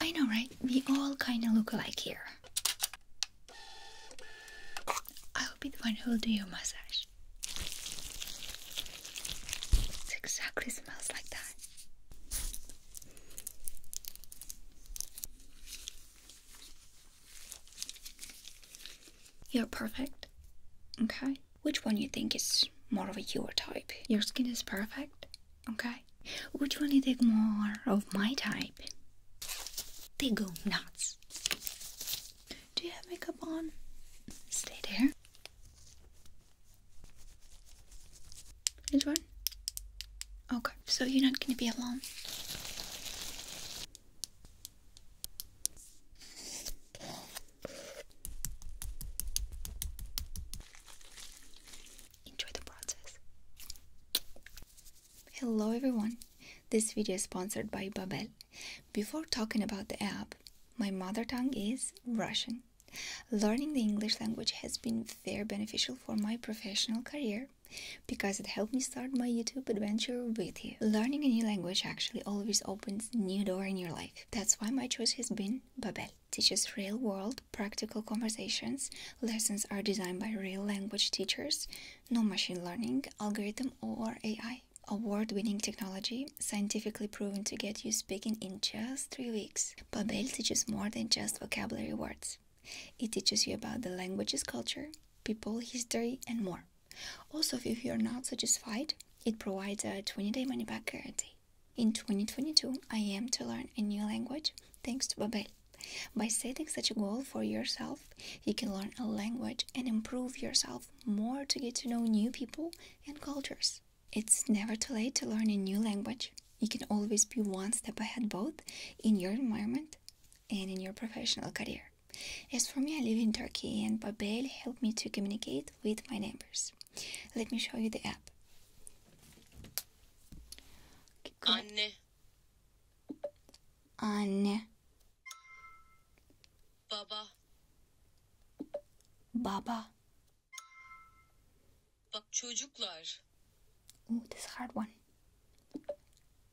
I know, right? We all kinda look alike here. I'll be the one who'll do your massage. It exactly smells like that. You're perfect. Okay? Which one you think is more of your type? Your skin is perfect. Okay? Which one you take more of my type? They go nuts. Do you have makeup on? Stay there. Which one? Okay, so you're not gonna be alone enjoy the process. Hello everyone, this video is sponsored by Babel. Before talking about the app, my mother tongue is Russian. Learning the English language has been very beneficial for my professional career because it helped me start my YouTube adventure with you. Learning a new language actually always opens new door in your life. That's why my choice has been Babel teaches real world, practical conversations. Lessons are designed by real language teachers. No machine learning, algorithm, or AI. Award winning technology, scientifically proven to get you speaking in just three weeks. Babel teaches more than just vocabulary words, it teaches you about the language's culture, people, history, and more. Also, if you're not satisfied, it provides a 20 day money back guarantee. In 2022, I aim to learn a new language thanks to Babbel. By setting such a goal for yourself, you can learn a language and improve yourself more to get to know new people and cultures. It's never too late to learn a new language. You can always be one step ahead both in your environment and in your professional career. As for me, I live in Turkey and Babbel helped me to communicate with my neighbors. Let me show you the app. Anne. Anne. Baba. Baba. Bak çocuklar. Oh, this is hard one.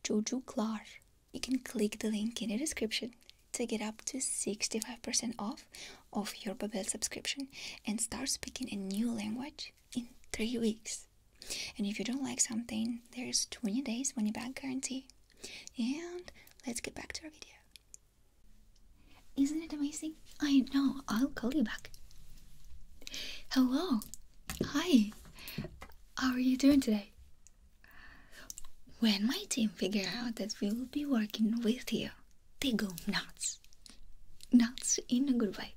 Çocuklar. You can click the link in the description to get up to 65% off of your Babbel subscription and start speaking a new language in three weeks. And if you don't like something, there's 20 days money back guarantee. And let's get back to our video. Isn't it amazing? I know, I'll call you back. Hello. Hi. How are you doing today? When my team figure out that we will be working with you, they go nuts. Not in a good way.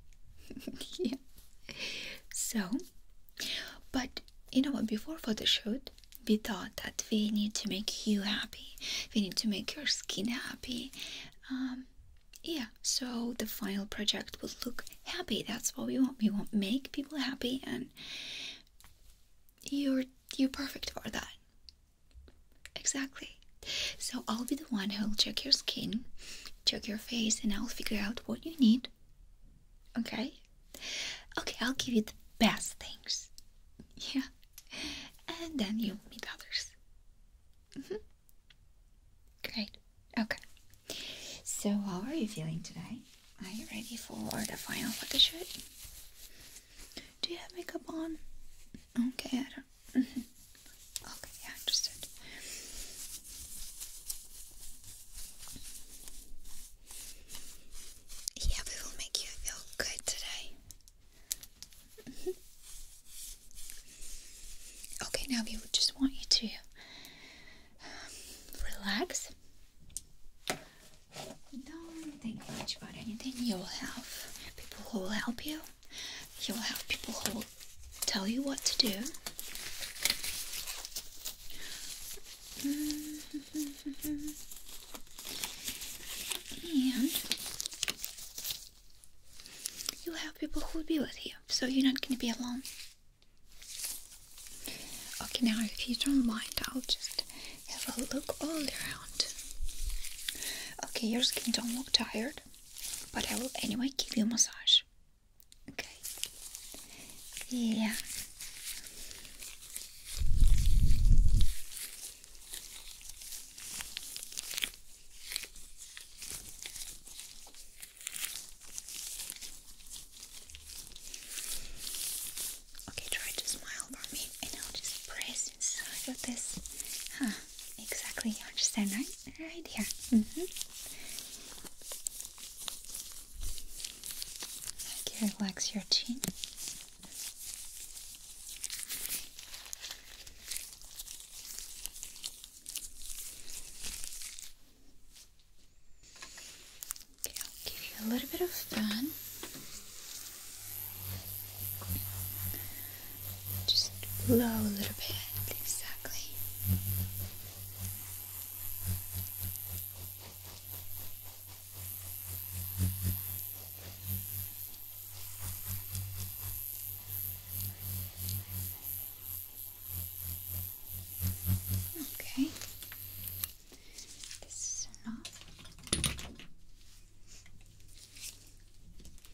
yeah. So, but you know what? Before photo shoot, we thought that we need to make you happy. We need to make your skin happy. Um, yeah. So the final project will look happy. That's what we want. We want make people happy, and you're you're perfect for that. Exactly. So I'll be the one who'll check your skin, check your face, and I'll figure out what you need. Okay? Okay, I'll give you the best things. Yeah. And then you'll meet others. Mm -hmm. Great. Okay. So, how are you feeling today? Are you ready for the final photo shoot? Do you have makeup on? Okay, I don't Mm-hmm. Okay, yeah, understood. Yeah, we will make you feel good today. Mm-hmm. Okay, now we would just want you to um, relax. Don't think much about anything. You will have people who will help you you will have people who will tell you what to do. And you'll have people who will be with you, so you're not going to be alone. Okay, now if you don't mind, I'll just have a look all around. Okay, your skin don't look tired, but I will anyway give you a massage. Okay. Yeah. Okay, try to smile for me and I'll just press inside of this hand exactly. You understand, right? Right here. Mm hmm. Okay, relax your chin. Okay, I'll give you a little bit of fun. Just blow a little bit, exactly. Okay, this is enough.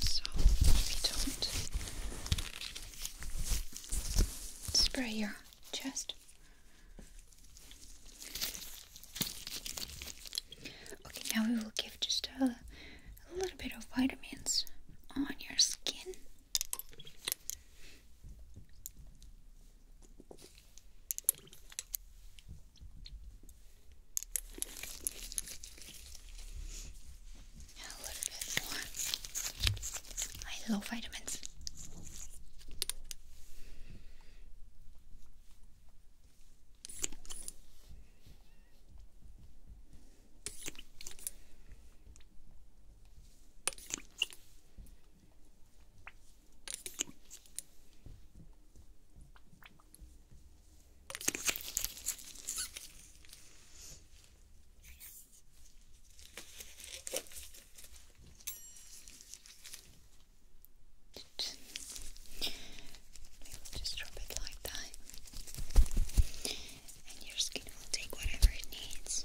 so don't spray your chest. Okay, now we will give just a little bit of vitamins on your skin. A little bit more. I love vitamins. Maybe we'll just drop it like that, and your skin will take whatever it needs.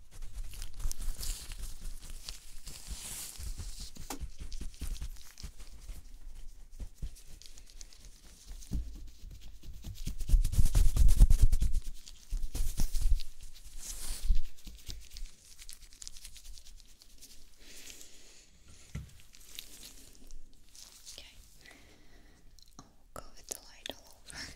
Okay. I'll go with the light all over.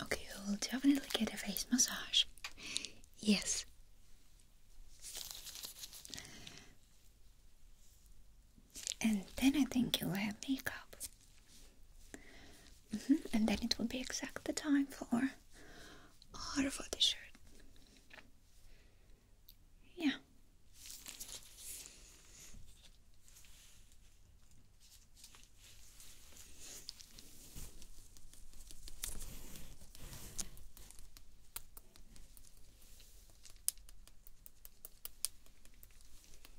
Okay, I will definitely get a face massage. Yes and then I think you'll have makeup. Mm-hmm. And then it will be exact the time for our body shirt. Yeah.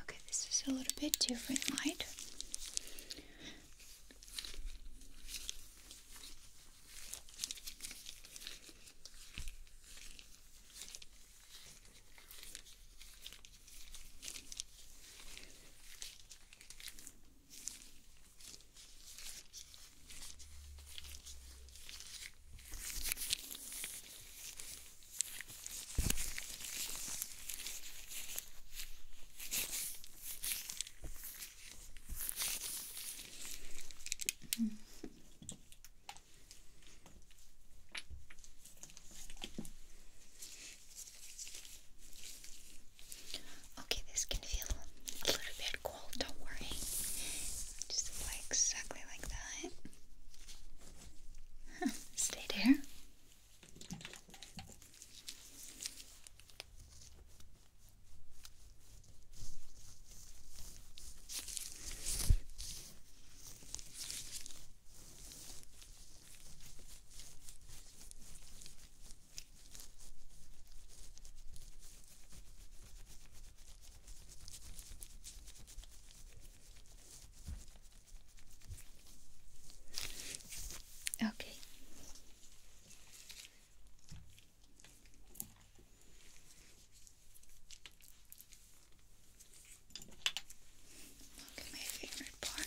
Okay, this is a little bit different light. Mm -hmm. Okay, this can feel a little bit cold, don't worry. Just apply exactly like that. Stay there. Okay. Look my favorite part.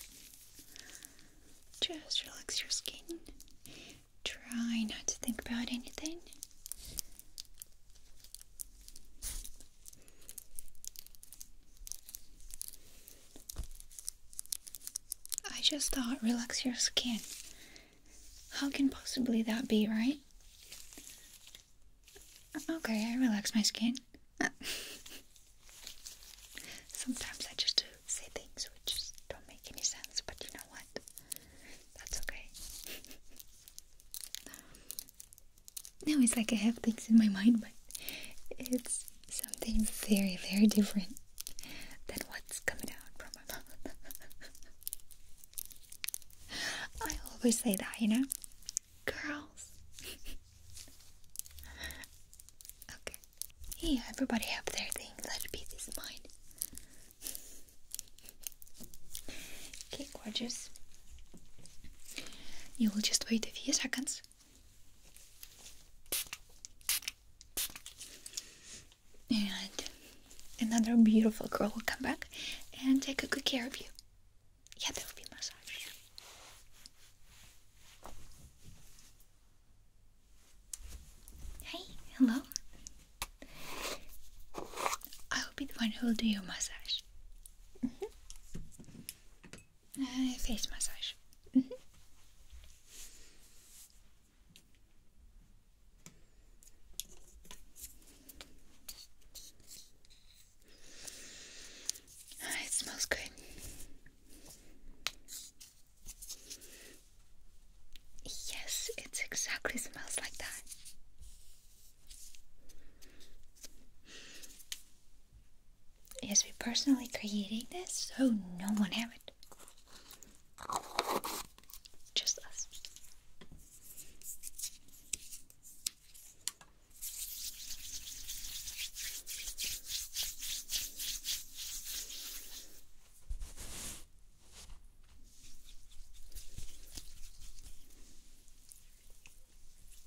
Just relax your skin. Try not to think about anything. I just thought relax your skin. How can possibly that be, right? Okay, I relax my skin. Sometimes I just do say things which just don't make any sense, but you know what? That's okay. No, it's like I have things in my mind, but it's something very, very different than what's coming out from my mouth. I always say that, you know? Girls. okay. Yeah, everybody have their things. Let be this mine. Okay, gorgeous. You will just wait a few seconds. And another beautiful girl will come back and take a good care of you. Yeah, there will be massage. Hey, hello. I will be the one who will do your massage. Mm -hmm. uh, face massage. Mm -hmm. oh, it smells good. Yes, it exactly smells like that. Yes, we personally created this, so no one have it. Just us.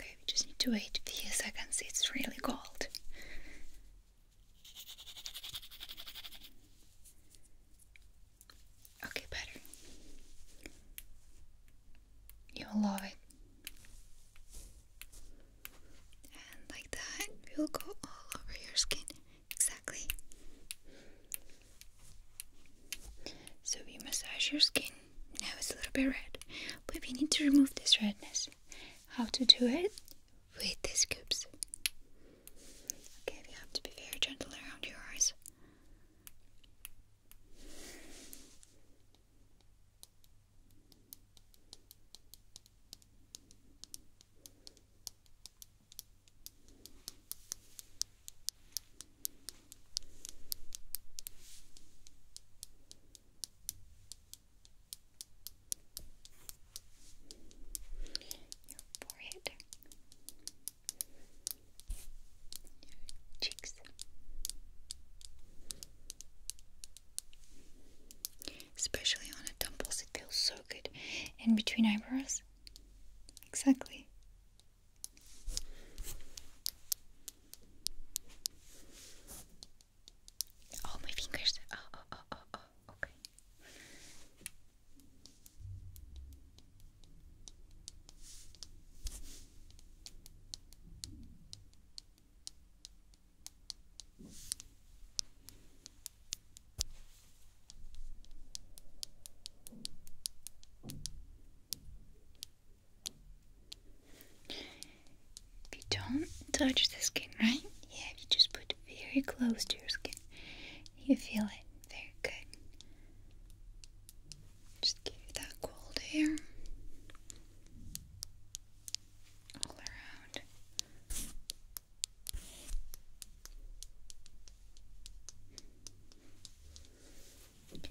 Okay, we just need to wait a few seconds. it's really cold. Okay, better. You will love it. And like that, we'll go all over your skin. Exactly. So we massage your skin. Now it's a little bit red, but we need to remove this redness. How to do it? With these scoops. Okay, we have to be very gentle around your eyes. Your forehead cheeks. Especially on the temples, it feels so good. In between eyebrows. Exactly. Oh, my fingers. Oh, oh, oh, oh, oh, okay you don't touch the skin, right? Yeah, if you just put very close to your skin, you feel it. Very good. Just give you that cold air all around. Okay.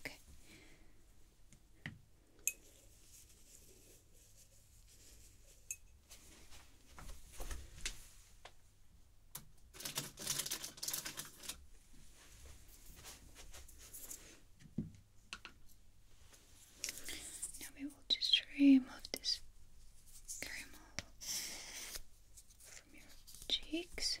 Okay. Now we will just remove this caramel from your cheeks.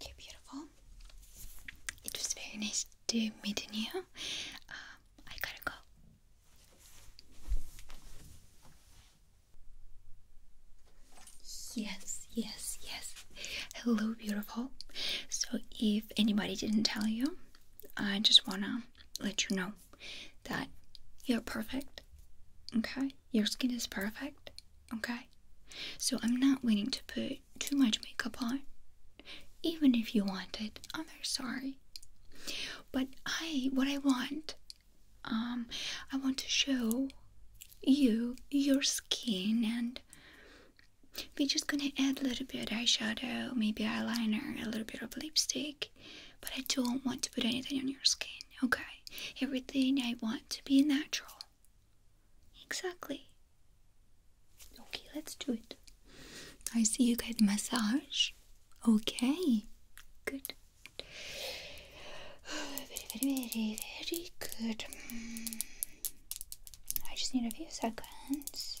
Okay, beautiful. It was very nice to meet you. Um, I gotta go. Yes, yes, yes. Hello, beautiful. So, if anybody didn't tell you, I just want to let you know that you're perfect. Okay? Your skin is perfect. Okay? So, I'm not waiting to put too much makeup on. Even if you want it, I'm very sorry. But I, what I want, um, I want to show you your skin, and we're just gonna add a little bit of eyeshadow, maybe eyeliner, a little bit of lipstick. But I don't want to put anything on your skin, okay? Everything I want to be natural. Exactly. Okay, let's do it. I see you get massage. Okay, good. Very, very, very, very good. Hmm. I just need a few seconds.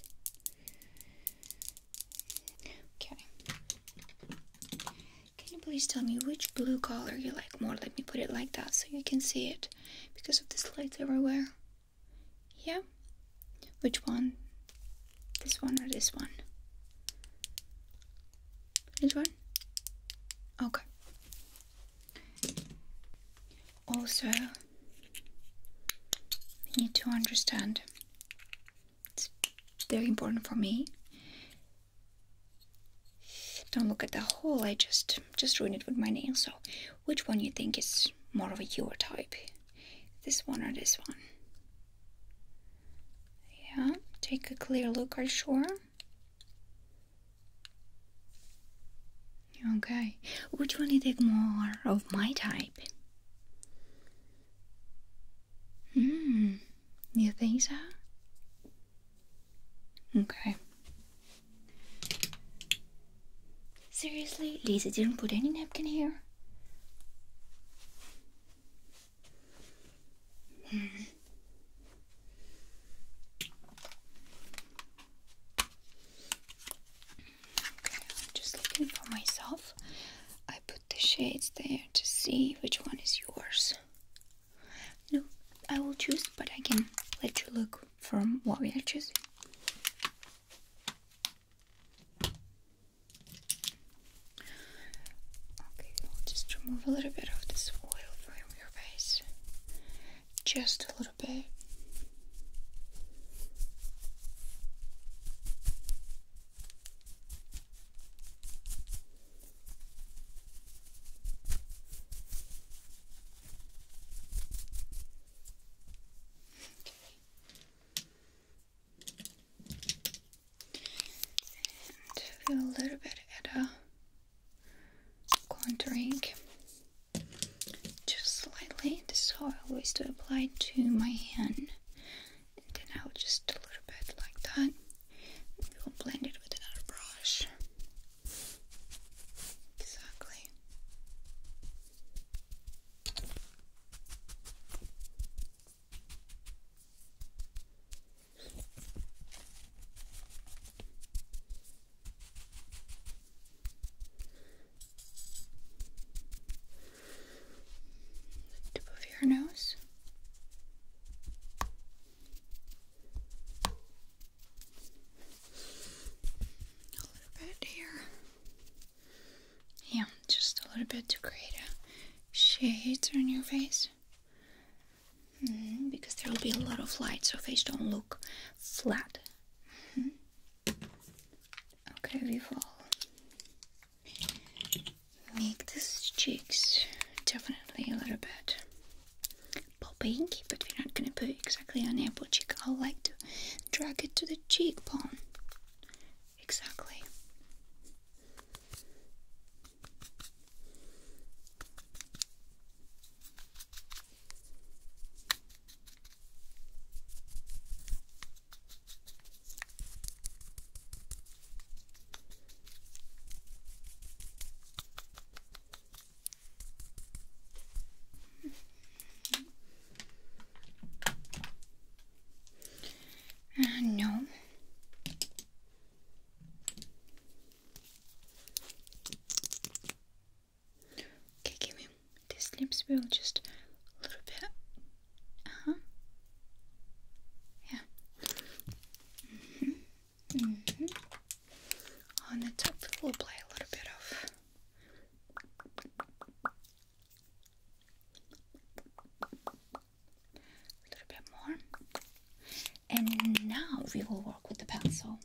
Okay. Can you please tell me which blue color you like more? Let me put it like that so you can see it because of this lights everywhere. Yeah? Which one? This one or this one? Which one? Okay. Also, need to understand, it's very important for me. Don't look at the hole, I just, just ruined it with my nail, so which one you think is more of your type? This one or this one? Yeah, take a clear look I'm sure. Okay, would you want to take more of my type? Hmm, you think so? Okay. Seriously, Lisa didn't put any napkin here. Okay, I'm just looking for myself. I put the shades there to see which one is yours. No, I will choose, but I can let you look from what we are choosing. Okay, we'll just remove a little bit of this oil from your face. Just a little bit and a little bit of a contouring just slightly. This is I always do apply to my hand, and then I'll just a little bit like that. We'll blend it with another brush. Exactly. The tip of your nose. A little bit here. Yeah, just a little bit to create a shade on your face. Mm-hmm, because there will be a lot of light, so faces don't look flat. Mm-hmm. Okay, we will make the cheeks definitely a little bit popping, but we're not gonna put exactly on apple cheek. I like to drag it to the cheekbone. Exactly. Uh, no. Okay, give me these lips. Will just a little bit. Uh huh. Yeah. Mhm. mhm. On the top, we'll apply a little bit of a little bit more. And now we will work with the pencil.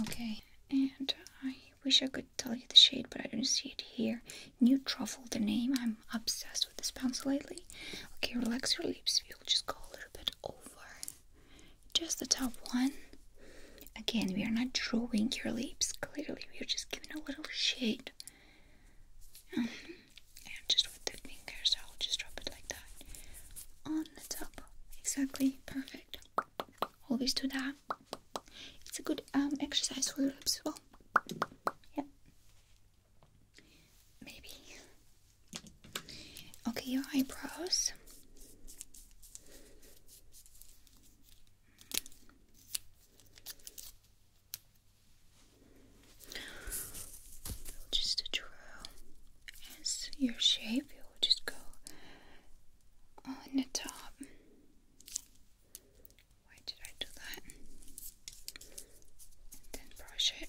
Okay, and I wish I could tell you the shade, but I don't see it here. New Truffle, the name. I'm obsessed with this pencil lately. Okay, relax your lips. We'll just go a little bit over. Just the top one. Again, we are not drawing your lips. Clearly, we are just giving a little shade. Um, and just with the fingers, I'll just drop it like that on the top. Exactly, perfect. Always do that. It's a good um, exercise for the lips as well. Yeah. Maybe. Okay, your eyebrows. Just a just draw as your shape, you will just go on the top. Why did I do that? then brush it.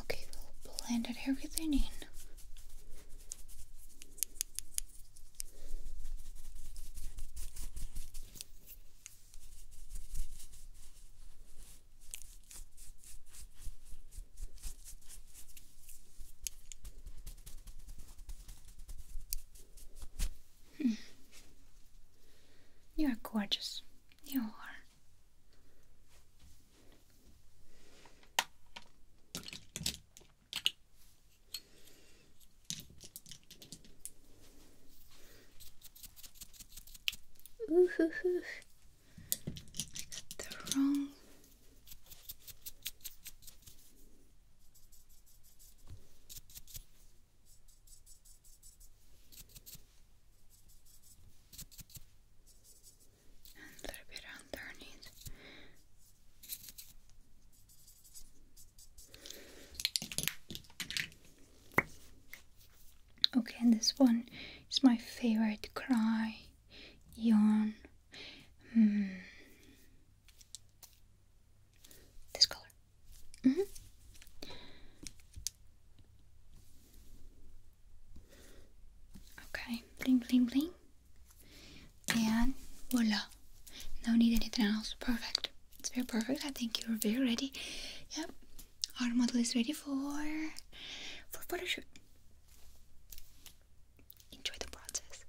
Okay, we'll blend it everything in. Hmm. You are gorgeous. You are. Ooh, hoo, hoo. I got the wrong. And a little underneath. Okay, and this one is my favorite cry, yawn. Mm. This color. Mm -hmm. Okay, bling bling bling. And voila. No need anything else. Perfect. It's very perfect. I think you're very ready. Yep. Our model is ready for for photo shoot. Enjoy the process.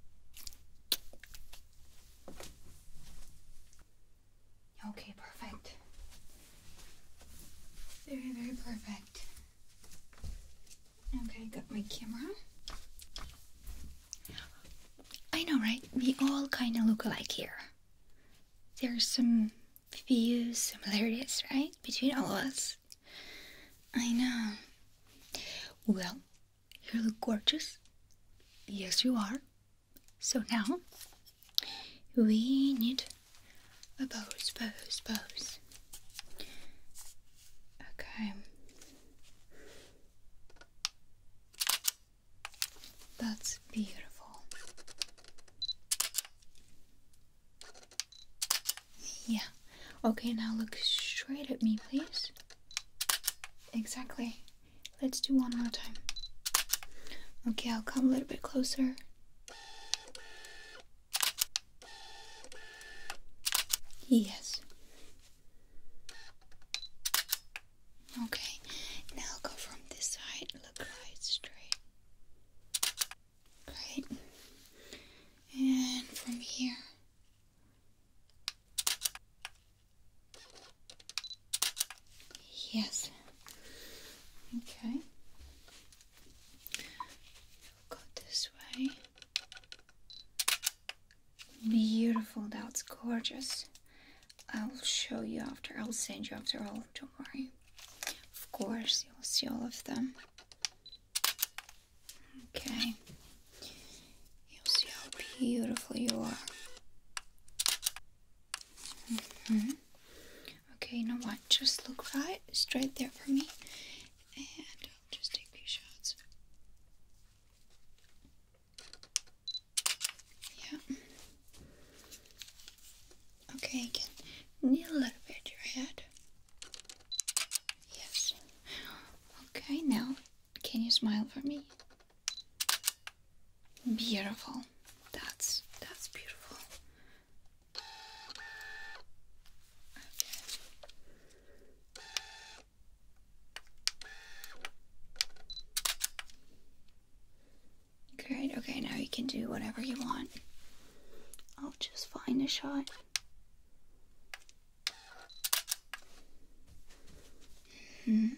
Okay, perfect. Very, very perfect. Okay, got my camera. I know, right? We all kind of look alike here. There's some few similarities, right? Between all of us. I know. Well, you look gorgeous. Yes, you are. So now, we need a pose, pose, pose. Okay. That's beautiful. Yeah. Okay, now look straight at me, please. Exactly. Let's do one more time. Okay, I'll come a little bit closer. Yes. Okay, now go from this side, look right straight. Great. And from here. Yes. Okay. Go this way. Beautiful, that's gorgeous. I'll show you after, I'll send you after all, don't worry. Of course, you'll see all of them. Okay. You'll see how beautiful you are. -hmm. Okay, you know what? Just look right straight there for me. And I'll just take these shots. Yeah. Okay, you can kneel a little bit your head. Yes. Okay, now can you smile for me? Beautiful. That's that's beautiful. Okay. Great, okay, now you can do whatever you want. I'll just find a shot. Mm.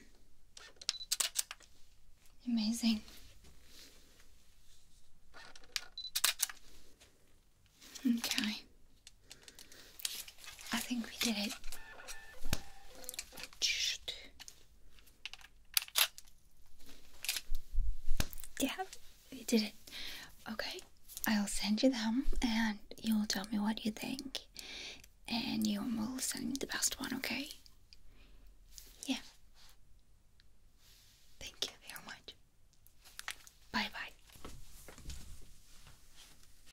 Amazing. Okay. I think we did it. Yeah, we did it. Okay, I'll send you them and you'll tell me what you think. And you will send me the best one, okay? Yeah. Thank you very much. Bye bye.